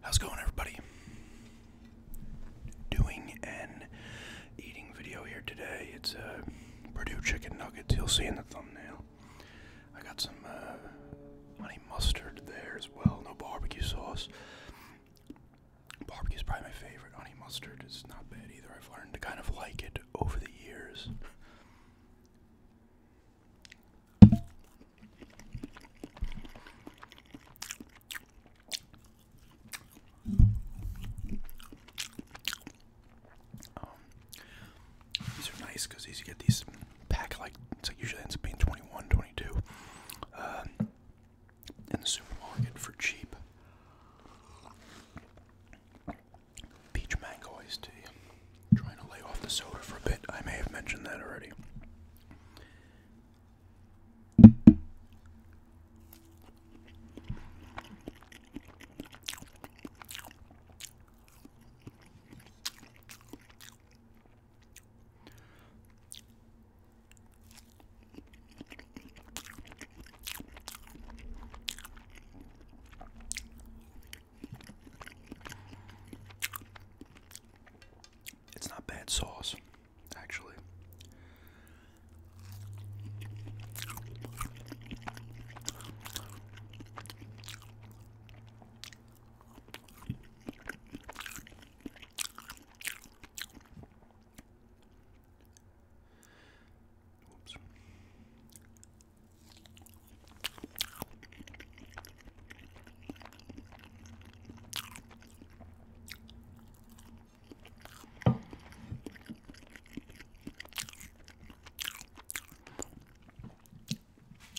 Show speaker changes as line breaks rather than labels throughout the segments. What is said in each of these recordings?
How's it going, everybody? Doing an eating video here today. It's a Purdue chicken nuggets. You'll see in the thumbnail. I got some uh, honey mustard there as well. No barbecue sauce. Barbecue's probably my favorite. Honey mustard is not bad either. I've learned to kind of like it over the years. Um, these are nice because these you get these pack like it's like usually ends up being twenty one, twenty two, 22 uh, in the supermarket for cheap peach mango iced tea. trying to lay off the soda for a bit. I may have mentioned that already. It's not bad sauce, actually. Whoops.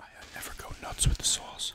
I never go nuts with the sauce.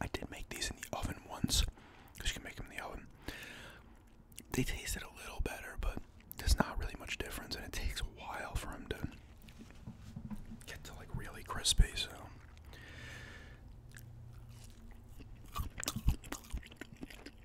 I did make these in the oven once because you can make them in the oven. They tasted a little better, but there's not really much difference, and it takes a while for them to get to like really crispy. So,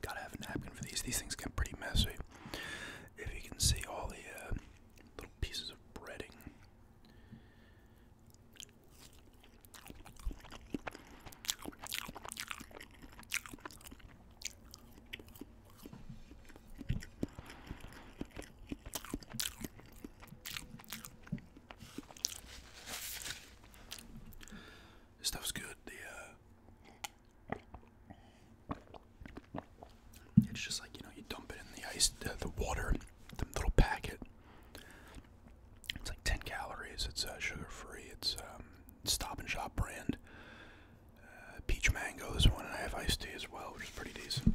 Gotta have a napkin for these. These things get pretty messy. If you can see all the uh, little pieces of breading. This stuff's good. The uh, it's just like, you know, you dump it in the ice, the, the water, the little packet. It's like 10 calories. It's sugar free. It's um, Stop and Shop brand. Uh, peach mango is one, and I have iced tea as well, which is pretty decent.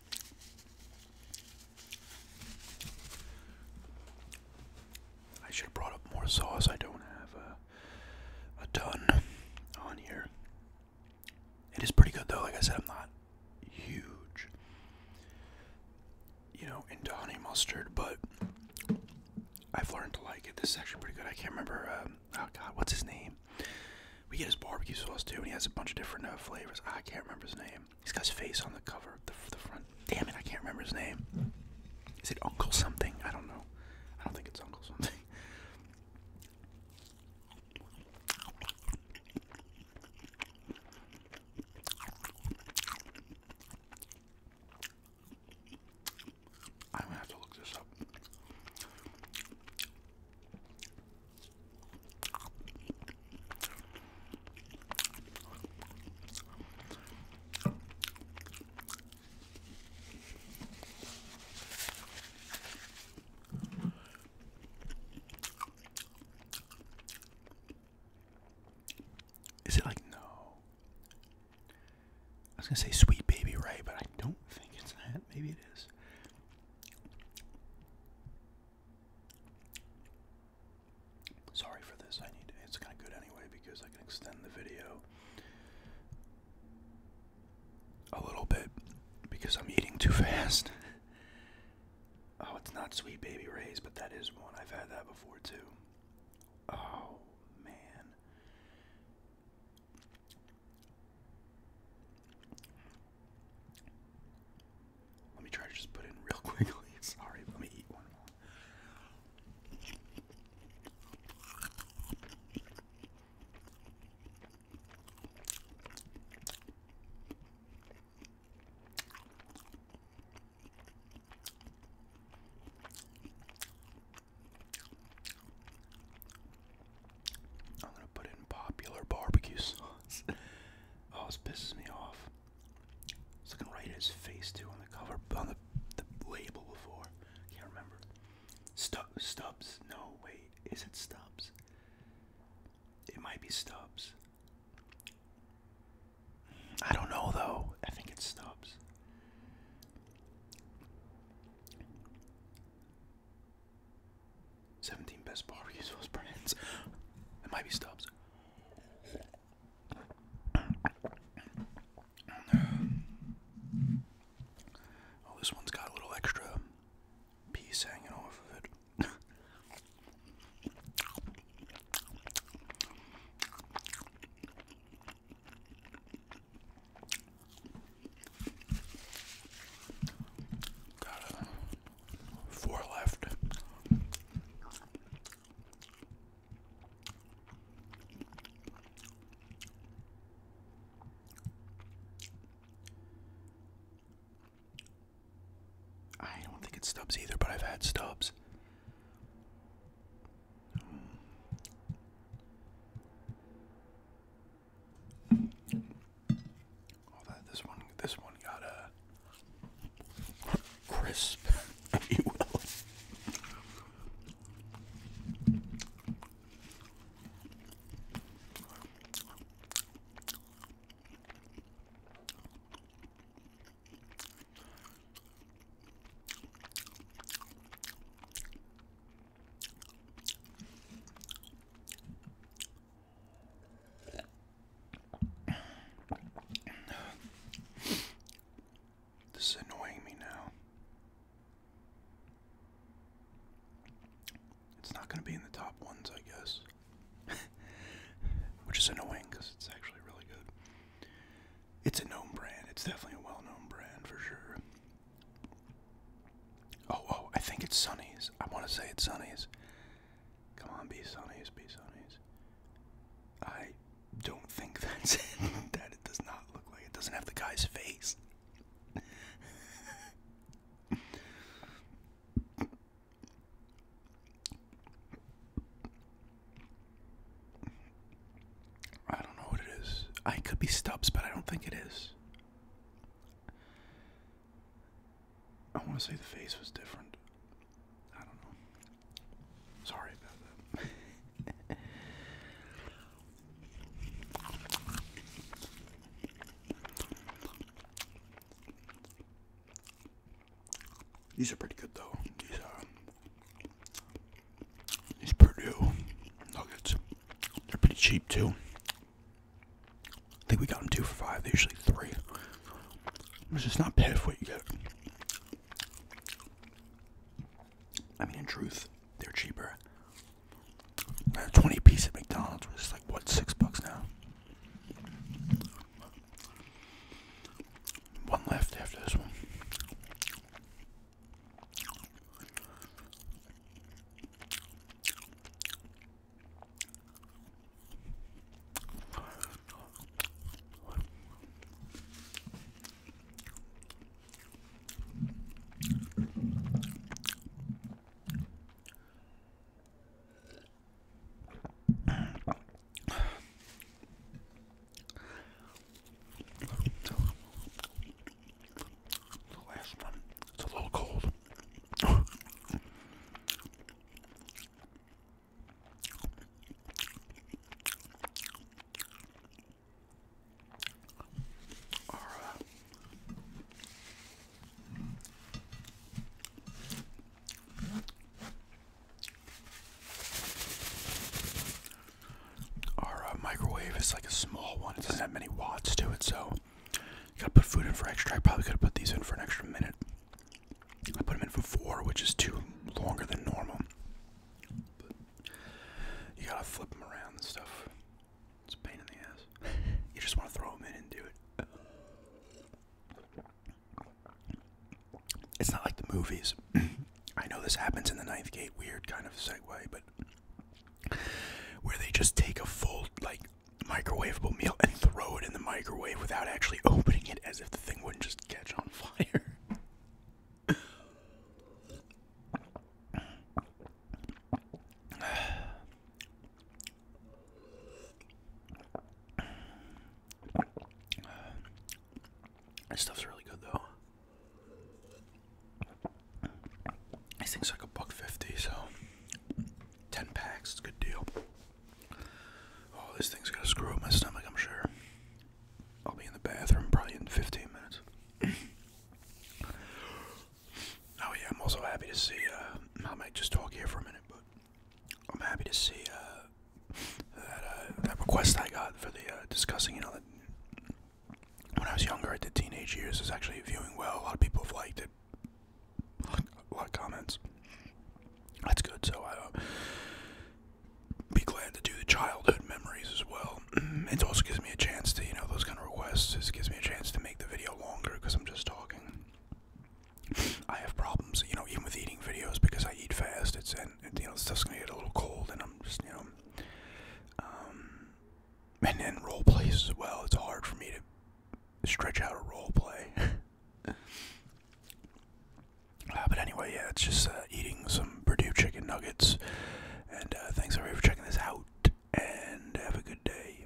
I should have brought up more sauce. I don't have a, ton on here. It is pretty good though. Like I said, I'm not huge, you know, into honey mustard, but I've learned to like it. This is actually pretty good. I can't remember. Um, oh God, what's his name? We get his barbecue sauce too, and he has a bunch of different uh, flavors. I can't remember his name. He's got his face on the cover, the, the front. Damn it, I can't remember his name. Is it Uncle something? I don't know. I don't think it's Uncle something. I'm gonna have to look this up. Is it like no? I was gonna say sweet baby Ray, but I don't think it's that. Maybe it is. Sorry for this. I need it's kind of good anyway because I can extend the video a little bit because I'm eating too fast. oh, it's not Sweet Baby Ray's, but that is one. I've had that before too. Oh man. Let me try to just put in real quickly. Sorry, let me eat one more. I'm gonna put in popular barbecue sauce. oh, this pisses me off. It's looking right at his face too on the cover, on the, label before. Can't remember. Stubbs? No, wait. Is it Stubbs? It might be Stubbs. I don't know though. I think it's Stubbs. 17 best barbecue sauce brands. It might be Stubbs. Oh, this one's got a little extra piece hanging off of it. Got uh, four left. I don't think it's stubs either, but I've had stubs. Although this one, this one got a crisp, if you will. This is annoying me now. It's not going to be in the top ones, I guess. Which is annoying because it's actually really good. It's a known brand. It's definitely a well-known brand for sure. Oh, oh, I think it's Sonny's. I want to say it's Sonny's. Come on, be Sonny's, be Sonny's. I don't think that's it. that it does not look like it. Doesn't have the guy's face. I don't know what it is. I could be Stubbs, but I don't think it is. I want to say the face was different. I don't know. Sorry about that. These are pretty good though. These are uh, these Purdue nuggets. They're pretty cheap too. I think we got them two for five. They're usually three. It's just not bad for what you get. I mean, in truth, they're cheaper. A 20 piece at McDonald's was like, what, six bucks now? One left after this one. The last one, it's a little cold. All right. Our uh, microwave is like a small one. It doesn't have many watts to it, so you gotta put food in for extra. I probably could have put these in for an extra minute. I put them in for four, which is two longer than normal. you gotta flip them around and stuff. It's a pain in the ass. you just want to throw them in and do it. It's not like the movies. I know this happens in the Ninth Gate, weird kind of segue, but where they just take a full, like, microwavable meal and throw it in the microwave without actually opening it as if the thing wouldn't just catch on fire this stuff's really good though. This thing's like a buck fifty, so ten packs, it's a good deal. Oh, this thing's gonna screw up my stomach, I'm sure. I'll be in the bathroom probably in 15 minutes. oh yeah, I'm also happy to see, uh, I might just talk here for a minute, but I'm happy to see uh, that uh, that request I got for the uh, discussing. You know, when I was younger, I did teenage years. Is actually viewing well. A lot of people have liked it. A lot of comments. That's good. So I will be glad to do the childhood memories as well. it also gives me a chance to, you know, those kind of requests. It gives me a chance to make the video longer because I'm just talking. I have problems, you know, even with eating videos because I eat fast. It's and, you know stuff's gonna get a little cold, and I'm just you know, um, and then role plays as well. It's hard for me to stretch out a role play. uh, but anyway, yeah, it's just uh, eating some Purdue chicken nuggets. And uh, thanks everybody for checking this out, and have a good day.